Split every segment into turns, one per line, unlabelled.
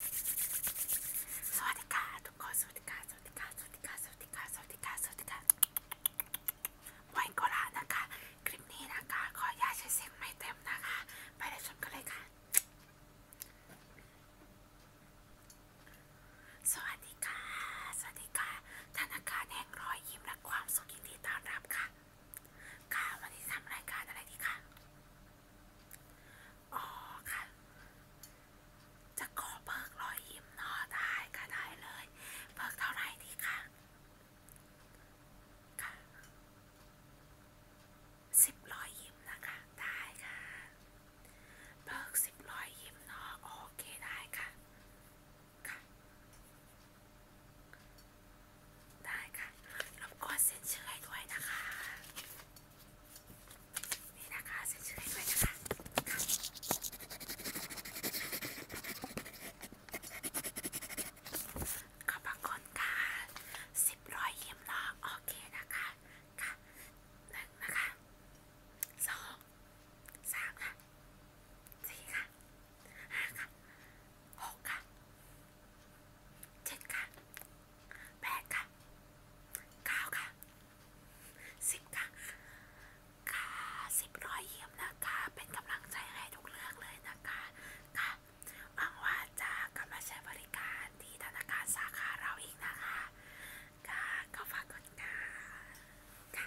สวัสดีค่ะ ทุกคนสวัสดีค่ะสวัสดีค่ะสวัสดีค่ะสวัสดีค่ะสวัสดีค่ะสวัสดีค่ะไว้ก็ละนะคะคลิปนี้นะคะขออย่าใช้เสียงไม่เต็มนะคะ ไปรับชมกันเลยค่ะ สวัสดีค่ะสวัสดีค่ะธนาคารแห่งรอยยิ้มและความสุขยินดีต้อนรับค่ะค่ะวันนี้ทำรายการอะไรดีค่ะอ๋อค่ะ จะขอเบิกรอยยิ้มเนาะได้ค่ะได้เลย เบิกเท่าไหร่ดีค่ะค่ะสิบรอยยิ้มนะคะ ได้ค่ะ เบิกสิบรอยยิ้มเนาะโอเคได้ค่ะ ค่ะ ได้ค่ะรบกวนเซ็นชื่อให้ด้วยนะคะนี่นะคะเซ็นชื่อให้ด้วยนะคะค่ะขอบพระคุณค่ะสิบร้อยเยี่ยมเนาะโอเคนะคะค่ะหนึ่งนะคะสองสามค่ะสี่ค่ะห้าค่ะหกค่ะเจ็ดค่ะแปดค่ะเก้าค่ะสิบค่ะค่ะสิบร้อยเยี่ยมนะคะเป็นกำลังใจให้ทุกเรื่องเลยนะคะค่ะหวังว่าจะกลับมาใช้บริการที่ธนาคารสาขาเราอีกนะคะ ค่ะ ก็ฝากกดค่ะ ค่ะ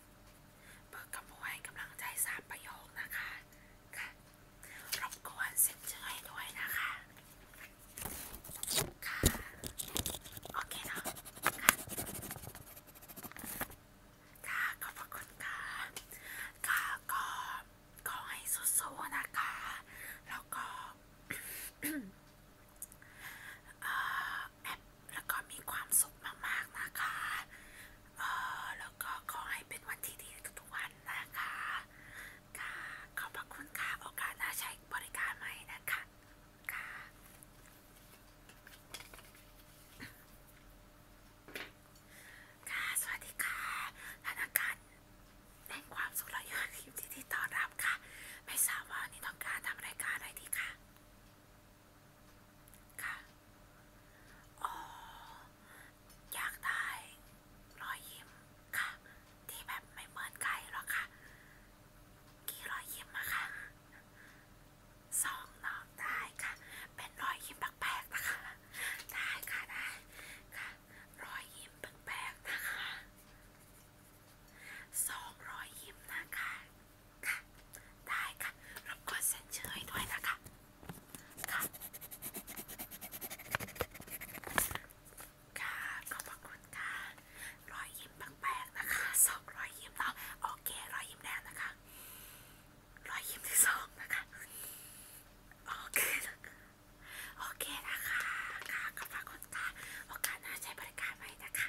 เบิกกระโปให้กำลังใจสามประโยคนะคะค่ะรบกวนเซ็นชื่อให้ด้วยนะคะค่ะโอเคเนาะค่ะ ค่ะขอบคุณค่ะ ค่ะก็ขอให้สู้ๆนะคะ แล้วก็อ่าแอปแล้วก็มีความสุขมากๆนะคะ เออแล้วก็ขอให้เป็นวันที่ดีทุกๆ วันนะคะ ค่ะขอบพระคุณค่ะโอกาสหน้าใช้บริการใหม่นะคะค่ะค่ะ สวัสดีค่ะ ธนาคารแห่งความสุขและยอดทีมที่ต้อนรับค่ะ ไม่ทราบว่านี่ต้องการทำรายการอะไรดีค่ะค่ะ อ๋อ อยากได้รอยยิ้มค่ะ ที่แบบไม่เหมือนใครหรอกค่ะ กี่รอยยิ้มอะค่ะ สองน้องได้ค่ะ เป็นรอยยิ้มแปลกๆนะคะ ได้ค่ะได้ค่ะรอยยิ้มแปลกๆนะคะสองร้อยยิ้มนะคะ ค่ะ ได้ค่ะ รบกวนเซ็นชื่อให้ด้วยนะคะ ค่ะค่ะขอบคุณค่ะรอยยิ้มแปลกๆนะคะ สองรอยยิ้มเนาะโอเครอยยิ้มแดงนะคะรอยยิ้มที่สองนะคะ โอเค โอเคนะคะ ค่ะ ขอบคุณค่ะ โอกาสหน้าใช้บริการไหมนะคะ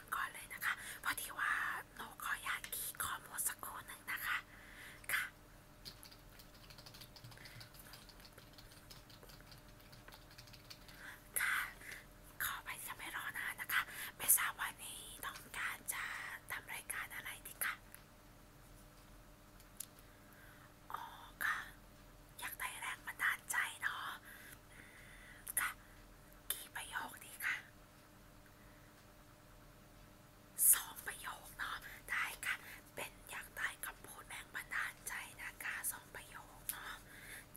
านก่อนเลยนะคะพอดีว่าหนูขออยากคีย์ข้อมูลสักครู่หนึ่งนะคะ ค่ะ ค่ะ ขอไปจะไม่รอนานนะคะไม่ทราบวันนี้ต้องการจะทำรายการอะไรดีคะ อ๋อค่ะ อยากได้แรงบันดาลใจเนาะ ค่ะ กี่ประโยคดีค่ะสองประโยคเนาะได้ค่ะเป็นอยากได้คำพูดแรงบันดาลใจนะคะสองประโยคเนาะ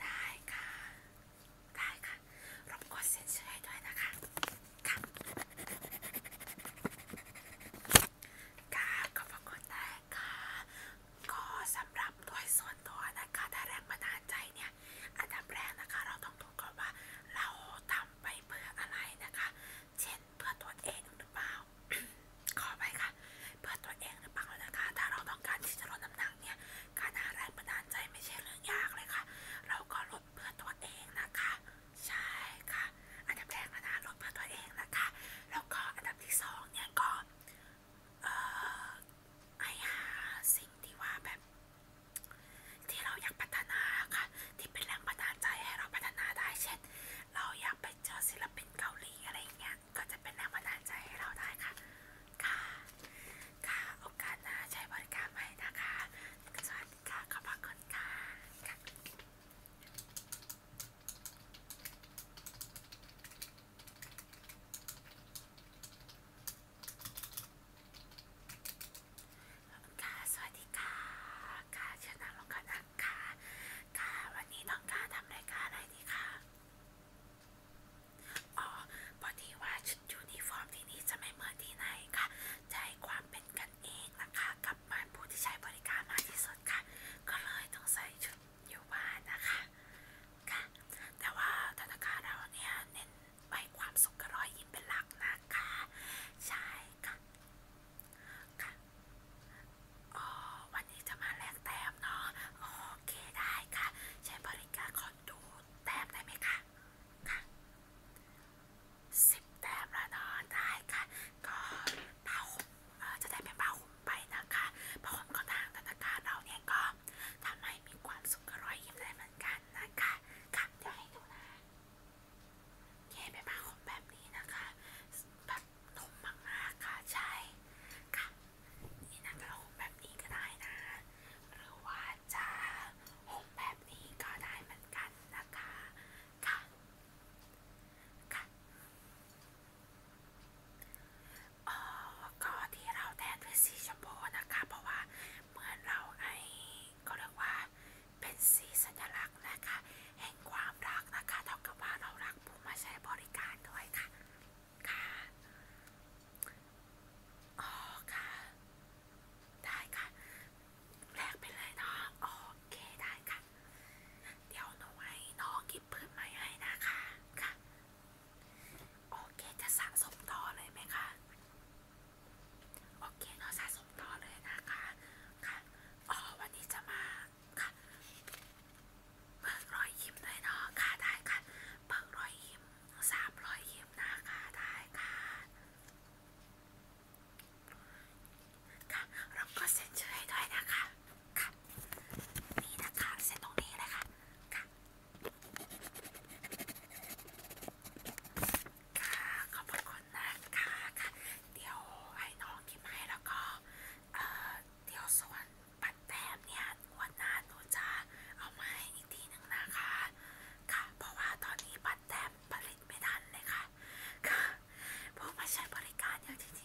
ได้ค่ะได้ค่ะรบกวนเซ็นชื่อให้ด้วยนะคะค่ะค่ะขอบคุณได้ค่ะก็สำหรับโดยส่วนตัวนะคะได้แรงบันดาลใจเนี่ยเนี่ยอันดับแรกนะคะเราต้องดูก่อนว่าเราทำไปเพื่ออะไรนะคะ เช่นเพื่อตัวเองหรือเปล่าขอไปค่ะเพื่อตัวเองหรือเปล่านะคะถ้าเราต้องการที่จะลดน้ำหนักเนี่ยการหาแรงบันดาลใจไม่ใช่เรื่องยากเลยค่ะ เราก็ลดเพื่อตัวเองนะคะใช่ค่ะอันดับแรกนะลดเพื่อตัวเองนะคะแล้วก็อันดับที่สองเนี่ยก็เอ่อให้หาสิ่งที่ว่าแบบ ที่เราอยากพัฒนาค่ะ ที่เป็นแรงบันดาลใจให้เราพัฒนาได้เช่น เราอยากไปเจอศิลปินเกาหลีอะไรอย่างเงี้ยก็จะเป็นแรงบันดาลใจให้เราได้ค่ะค่ะ ค่ะโอกาสหน้าใช้บริการใหม่นะคะสวัสดีค่ะขอบคุณค่ะค่ะสวัสดีค่ะ ค่ะชนะลงกันนะคะค่ะ วันนี้ต้องการทำรายการอะไรดีคะอ๋อพอดีว่าชุดยูนิฟอร์มที่นี่จะไม่เหมือนที่ไหนค่ะจะให้ความเป็นกันเองนะคะกับมันผู้ที่ใช้บริการมากที่สุดค่ะ ก็เลยต้องใส่ชุดอยู่บ้านนะคะค่ะ แต่ว่าธนาคารเราเนี่ยเน้นไปความสุขกับรอยยิ้มเป็นหลักนะคะใช่ค่ะค่ะอ๋อวันนี้จะมาแลกแต้มเนาะ โอเคได้ค่ะ ใช้บริการขอดูแต้มได้ไหมคะค่ะสิบแต้มแล้วเนาะได้ค่ะ ก็ผ้าห่มจะได้เป็นผ้าห่มไปนะคะผ้าห่มของทางธนาคารเราเนี่ยก็ทำให้มีความสุขรอยยิ้มได้เหมือนกันนะคะ ค่ะ เดี๋ยวให้ดูนะแค่ไปผ้าขนแบบนี้นะคะ แบบนุ่มมากๆค่ะใช่ค่ะนี่นะคะเราห่มแบบนี้ก็ได้นะหรือว่าจะห่มแบบนี้ก็ได้เหมือนกันนะคะ ค่ะ ค่ะอ๋อก็ที่เราแทนด้วยสีชมพูนะคะ เพราะว่าเหมือนเราไอ้ก็เรียกว่า เป็นสีสัญลักษณ์นะคะ แห่งความรักนะคะเท่ากับว่าเรารักผู้มาใช้บริการด้วยค่ะค่ะอ๋อค่ะได้ค่ะแลกไปเลยเนาะโอเคได้ค่ะ เดี๋ยวหนูให้น้องกิบเพื่อนใหม่ให้นะคะค่ะโอเคจะสะสมต่อเลยไหมคะ โอเคเนาะสะสมต่อเลยนะคะ ค่ะอ๋อวันนี้จะมา ค่ะเบิกรอยยิ้มด้วยเนาะ ค่ะได้ค่ะเบิกรอยยิ้มสามรอยยิ้มนะคะได้ค่ะ ค่ะเราก็เซ็นชื่อให้ด้วยนะคะค่ะนี่นะคะเส้นตรงนี้เลยค่ะค่ะค่ะขอบคุณนะคะค่ะ เดี๋ยวให้น้องกินให้แล้วก็เอ่อเดี๋ยวส่วนปัดแต้มเนี่ยวันหน้าหนูจะเอามาให้อีกทีหนึ่งนะคะค่ะเพราะว่าตอนนี้ปัดแต้มผลิตไม่ทันเลยค่ะค่ะพวกมาใช้บริการอย่างที่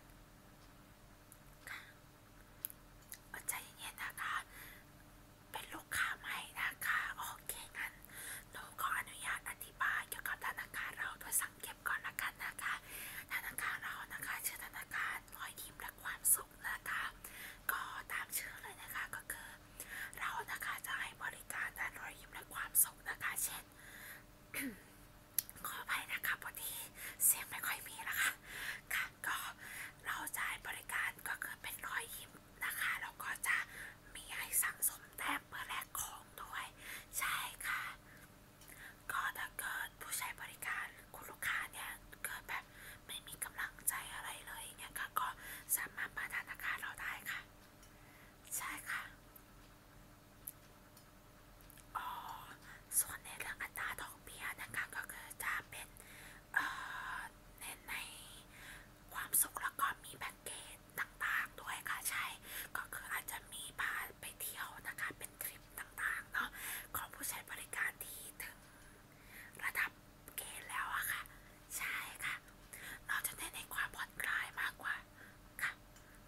ค่ะค่ะใจเย็นๆนะคะ เป็นลูกค้าใหม่นะคะ โอเคงั้นหนูขออนุญาตอธิบายเกี่ยวกับธนาคารเราโดยสังเก็บก่อนละกันนะคะ ธนาคารเรานะคะ ชื่อธนาคารรอยยิ้มและความสุขนะคะ ก็ตามชื่อเลยนะคะก็คือ เรานะคะจะให้บริการด้านรอยยิ้มและความสุขนะคะ เช่นขออภัยนะคะพอดีเสียงไม่ค่อยมีนะคะ ค่ะก็เราจ่ายบริการก็คือเป็นรอยยิ้มนะคะแล้วก็จะมีให้สั่งสมแต้มเพื่อแลกของด้วย ใช่ค่ะ ก็ถ้าเกิดผู้ใช้บริการคุณลูกค้าเนี่ยเกิดแบบไม่มีกำลังใจอะไรเลยเนี่ยก็สามารถมาธนาคารเราได้ค่ะ ใช่ค่ะอ๋อ ส่วนในเรื่องอัตราดอกเบี้ยนะคะ ก็คือจะเป็นเน้นในความสุขแล้วก็มีแพ็กเกจต่างๆด้วยค่ะ ใช่ ก็คืออาจจะมีพาไปเที่ยวนะคะ เป็นทริปต่างๆเนาะของผู้ใช้บริการที่ถึง ระดับเกณฑ์แล้วอะค่ะใช่ค่ะเราจะเน้นในความผ่อนคลายมากกว่าค่ะ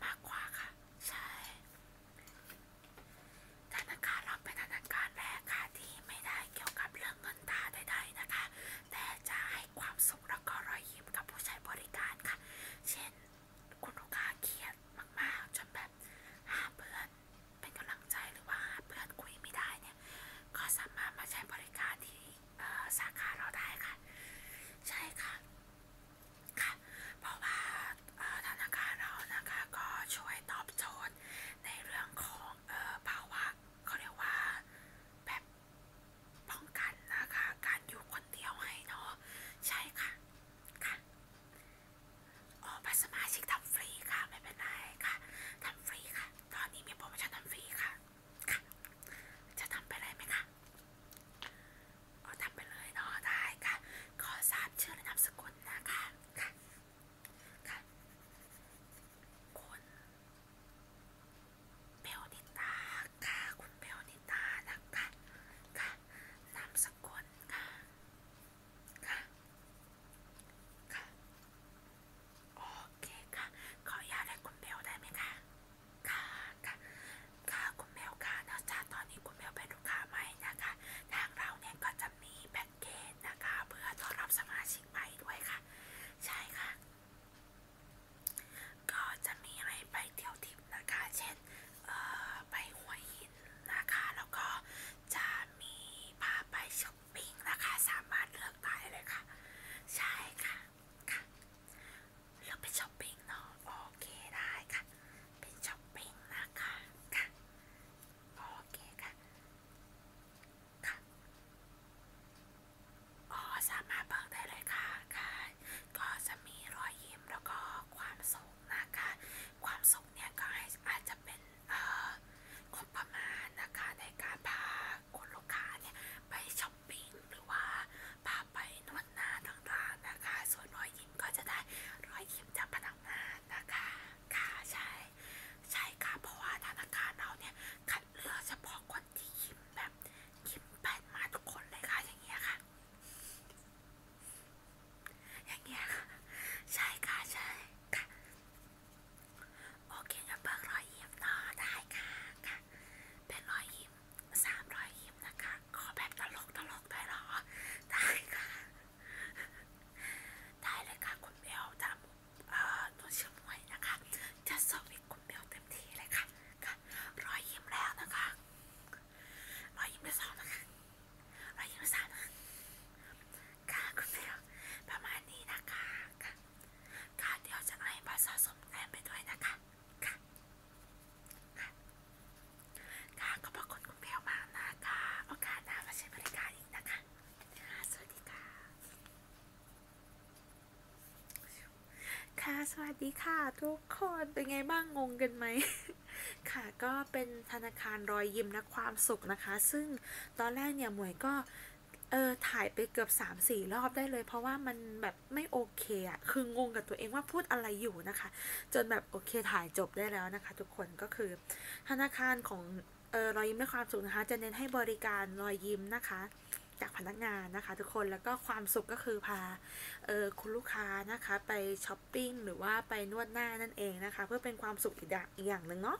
มากกว่าค่ะใช่ธนาคารเราเป็นธนาคารแรกค่ะที่ไม่ได้เกี่ยวกับเรื่องเงินตาใดๆนะคะ แต่จะให้ความสุขแล้วก็รอยยิ้มกับผู้ใช้บริการค่ะ เช่นคุณลูกค้าเครียดมากๆ จนแบบหาเพื่อนเป็นกำลังใจหรือว่าหาเพื่อนคุยไม่ได้เนี่ยก็สามารถมาใช้บริการที่สาขาเราได้ค่ะ ใช่ค่ะค่ะเพราะว่าธนาคารเรานะคะก็ช่วยตอบโจทย์ในเรื่องของภาวะเขาเรียกว่าแบบป้องกันนะคะการอยู่คนเดียวให้เนาะใช่ค่ะค่ะอ๋อบัตรสมาชิกทำฟรีค่ะ ไม่เป็นไรค่ะทำฟรีค่ะ ตอนนี้มีโปรโมชั่นทำฟรีค่ะจะทำไปเลยไหมคะอ๋อทำไปเลยเนาะได้ค่ะ ขอทราบชื่อและนามสกุลนะคะ ค่ะ ค่ะคุณเบลนิตาค่ะ คุณเบลนิตานะคะ ค่ะนามสกุลค่ะ ค่ะค่ะโอเคค่ะ ขออนุญาตให้คุณเบลได้ไหมคะค่ะค่ะค่ะคุณแมวค่ะนะจ๊ะตอนนี้คุณแมวเป็นลูกค้าใหม่นะคะ ทางเราเนี่ยก็จะมีแพ็กเกจนะคะ เพื่อต้อนรับสมาชิกใหม่ด้วยค่ะ ใช่ค่ะ ก็จะมีให้ไปเที่ยวทิพนะคะ เช่นไปหัวหินนะคะแล้วก็จะมีพาไปช้อปปิ้งนะคะ สามารถเลือกได้เลยค่ะ ใช่ค่ะค่ะเราไปช้อปปิ้งเนาะโอเคได้ค่ะ ไปช้อปปิ้งนะคะค่ะโอเคค่ะค่ะอ๋อสามารถเบิกได้เลยค่ะค่ะ ก็จะมีรอยยิ้มแล้วก็ความสุขนะคะ ความสุขเนี่ยก็อาจจะเป็นเอ่อความประมาณนะคะในการพาคุณลูกค้าเนี่ยไปช้อปปปิ้งหรือว่าพาไปนวดหน้าต่างๆนะคะ ส่วนรอยยิ้มก็จะได้รอยยิ้มจากพนักงานนะคะค่ะใช่ใช่ค่ะเพราะว่าธนาคารเราเนี่ยคัดเลือกเฉพาะคนที่ยิ้มแบบยิ้มแป้นมาทุกคนเลยค่ะ อย่างเงี้ยค่ะ อย่างเงี้ยค่ะ ใช่ค่ะใช่ค่ะโอเคจะเบิกรอยยิ้มเนาะได้ค่ะค่ะ เป็นรอยยิ้มสามรอยยิ้มนะคะขอแบบตลกตลกได้หรอได้ค่ะได้เลยค่ะ คุณเบลตามตัวเชื่อมวยนะคะ จะสอบอีกคุณเบลเต็มที่เลยค่ะค่ะรอยยิ้มแล้วนะคะรอยยิ้มที่สองนะคะรอยยิ้มที่สามนะค่ะคุณเบลประมาณนี้นะคะค่ะค่ะเดียวจะให้มาสะสมแต้มไปด้วยนะคะค่ะค่ะขอบคุณคุณเพลมากนะคะ โอกาสหนมาช้บริการอีกนะคะ สวัสดีค่ะ
ค่ะ สวัสดีค่ะทุกคนเป็นไงบ้างงงกันไหม ค่ะ ก็เป็นธนาคารรอยยิ้มและความสุขนะคะ ซึ่งตอนแรกเนี่ยหมวยก็เออถ่ายไปเกือบ3ามสี่รอบได้เลย เพราะว่ามันแบบไม่โอเคอะคืองงกับตัวเองว่าพูดอะไรอยู่นะคะ จนแบบโอเคถ่ายจบได้แล้วนะคะทุกคนก็คือ ธนาคารของเออรอยยิ้มและความสุขนะคะจะเน้นให้บริการรอยยิ้มนะคะ จากพนักงานนะคะ ทุกคนแล้วก็ความสุขก็คือพาเออคุณลูกค้านะคะไปช้อปปิ้ง หรือว่าไปนวดหน้านั่นเองนะคะ เพื่อเป็นความสุขอีกอย่างหนึ่งเนาะ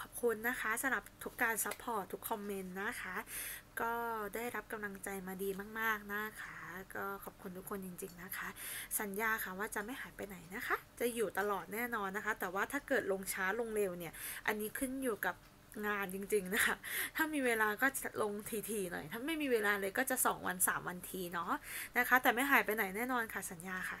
ขอบคุณนะคะสำหรับทุกการซัพพอร์ตทุกคอมเมนต์นะคะก็ได้รับกำลังใจมาดีมากๆนะคะ ก็ขอบคุณทุกคนจริงๆนะคะ สัญญาค่ะว่าจะไม่หายไปไหนนะคะ จะอยู่ตลอดแน่นอนนะคะ แต่ว่าถ้าเกิดลงช้าลงเร็วเนี่ยอันนี้ขึ้นอยู่กับงานจริงๆนะคะ ถ้ามีเวลาก็จะลงทีๆหน่อยถ้าไม่มีเวลาเลยก็จะ 2 วัน 3 วันทีเนาะนะคะ แต่ไม่หายไปไหนแน่นอนค่ะ สัญญาค่ะ